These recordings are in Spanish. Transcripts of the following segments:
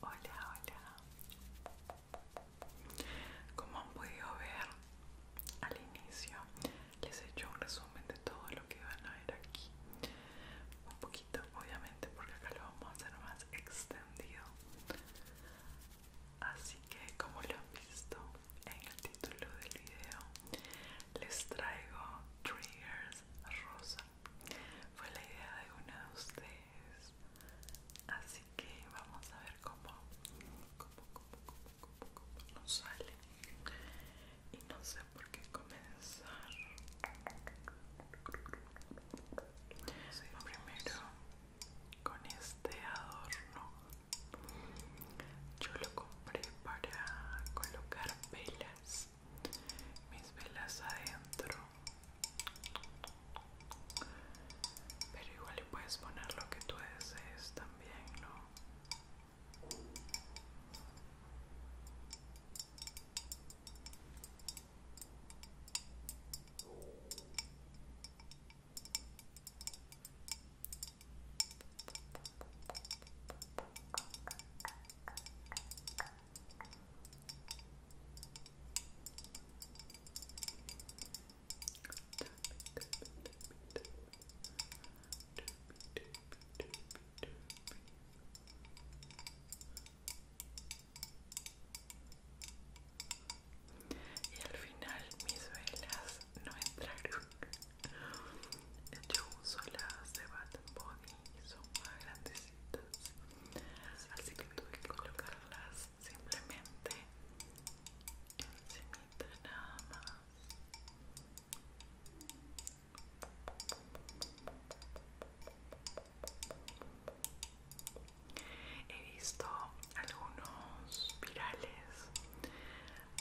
Hola, hola. Como han podido ver al inicio, les he hecho un resumen de todo lo que van a ver aquí. Un poquito, obviamente, porque acá lo vamos a hacer más extendido. Así que, como lo han visto en el título del video, les traigo triggers rosa. Fue la idea de una de ustedes. Así que vamos a ver cómo, nos sale. Y no sé por qué comenzar. primero con este adorno. Yo lo compré para colocar pelas mis velas adentro pero igual le puedes poner lo que tú desees también no y al final mis velas no entraron. Yo uso las de bad Body son más grandecitas. Así que tuve que colocarlas simplemente encima nada más. He visto algunos virales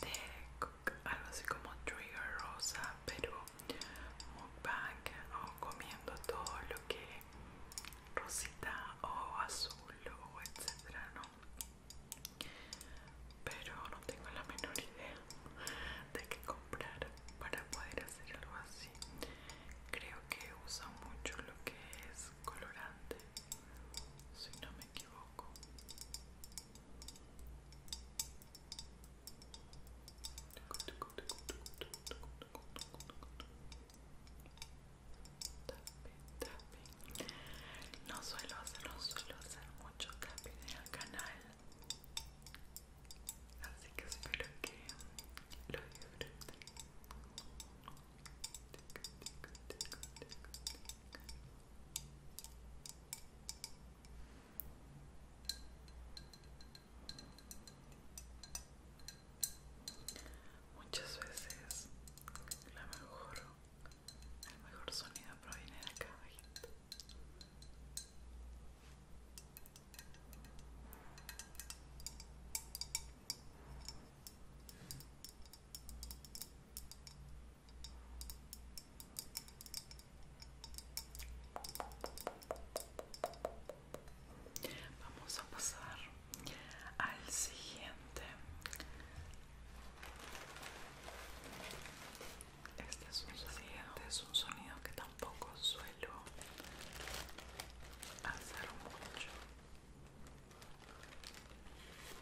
de algo así como trigger rosa, pero mukbang o comiendo todo lo que rosita o azul o etcétera, ¿no? Pero no tengo la menor idea de qué comprar para poder hacer algo así. Creo que usa mucho lo que es colorante, si no me equivoco. No suelo hacer, no suelo hacer mucho tapping en el canal. Así que espero que lo disfruten. Muchas veces la mejor, el mejor sonido proviene de acá Vamos a pasar al siguiente. Este es un sonido. es un sonido que tampoco suelo hacer mucho.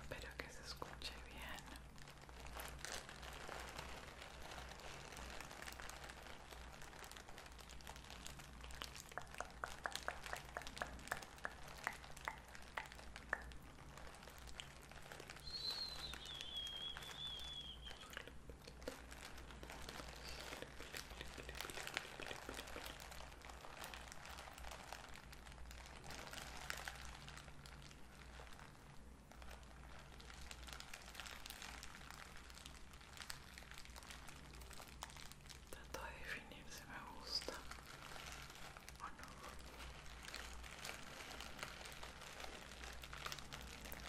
Espero que se escuche bien. Trato de definir si me gusta o no.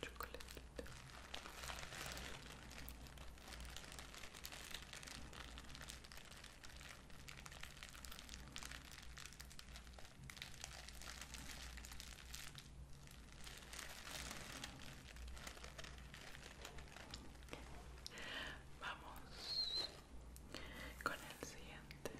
Chocolate Vamos con el siguiente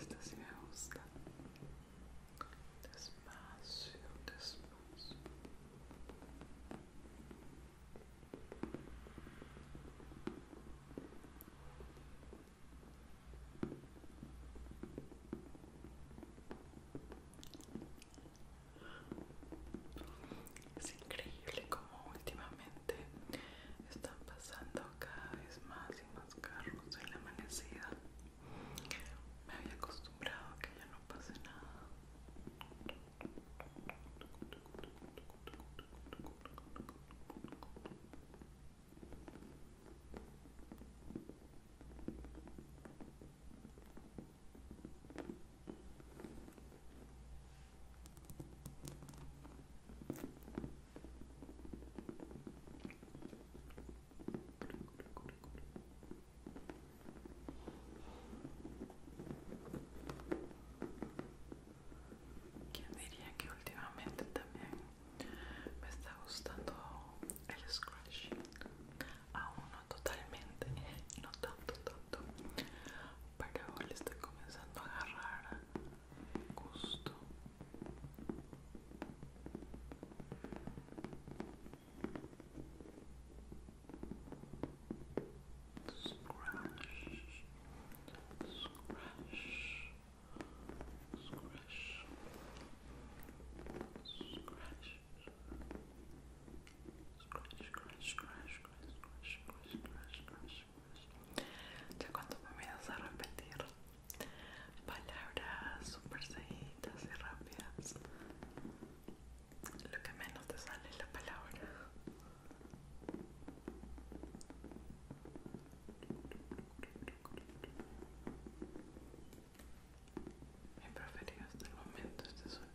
esta sí me gusta. Despacio, despacio. Es increíble como últimamente están pasando cada vez más y más carros en la amanecida. Me había acostumbrado a que ya no pase nada. Quien diría que últimamente también me está gustando el scratch a uno totalmente, no tanto tanto pero le está comenzando a agarrar gusto. Scratch, scratch, scratch, scratch, Scratch, scratch, scratch, scratch, scratch, scratch, scratch. cuando me a repetir palabras súper seguidas y rápidas, lo que menos te sale es la palabra. Mi preferido hasta el momento este sonido.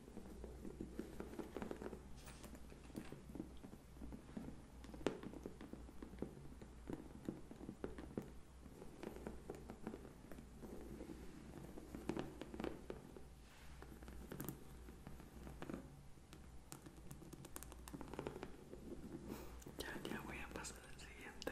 Ya, ya voy a pasar al siguiente.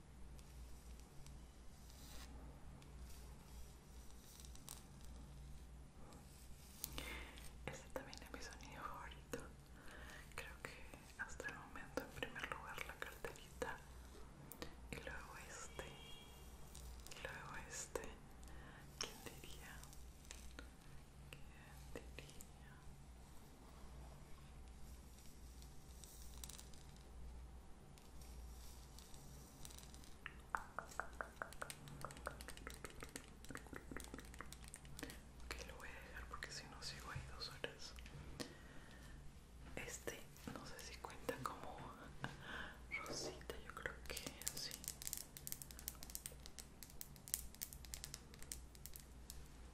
Este también es mi sonido favorito. Creo que hasta el momento en primer lugar la carterita y luego este y luego este. ¿Quién diría? ¿Quién diría? Ok, lo voy a dejar porque si no sigo ahí dos horas. Este, no sé si cuenta como rosita, yo creo que sí.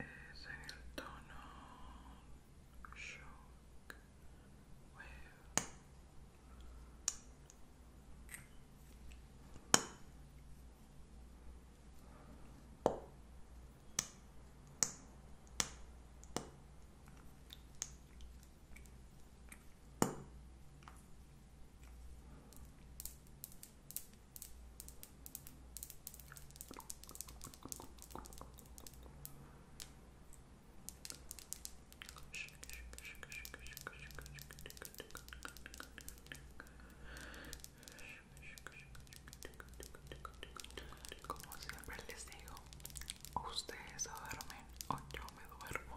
es en el tono shock wave como siempre les digo, ustedes duermen o yo me duermo.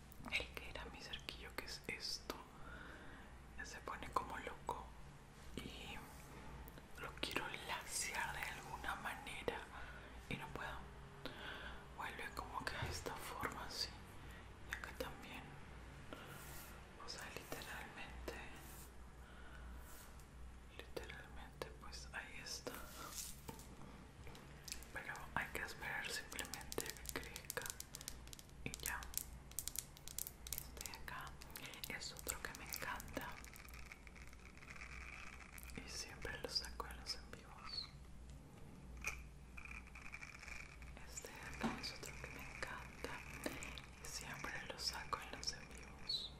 el que era mi cerquillo que es esto se pone como loco y lo quiero lacear de alguna manera y no puedo vuelve como que a esta forma así y acá también o sea literalmente literalmente pues ahí está pero hay que esperar simplemente que crezca y ya este acá es otro que me encanta y siempre lo saco en los envíos este acá es otro que me encanta y siempre lo saco en los envíos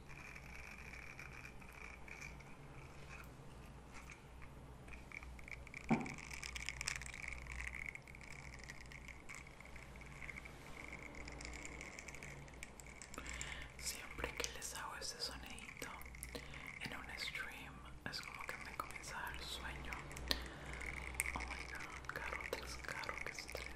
Siempre que les hago ese sonidito en un stream es como que me comienza a sueño. Oh my god, carro tres carro que estrés.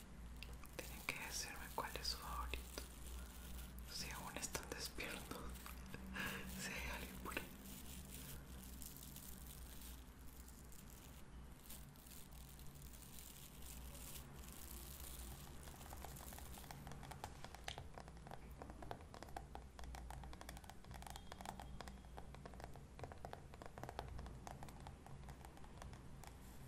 Tienen que decirme cuál es su favorito. Si aún están despiertos. si hay alguien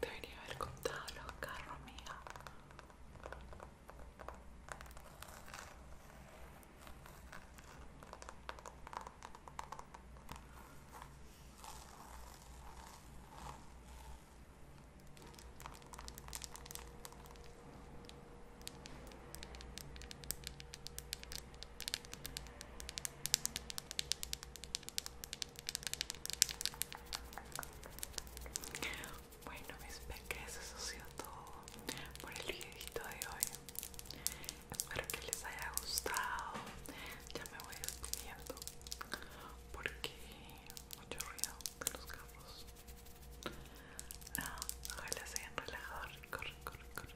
Debería haber contado los carros, mía. Bueno mis peques, eso ha sido todo por el videito de hoy. Espero que les haya gustado. Ya me voy despidiendo porque mucho ruido de los carros. No, ah, ojalá se hayan relajado corre, corre.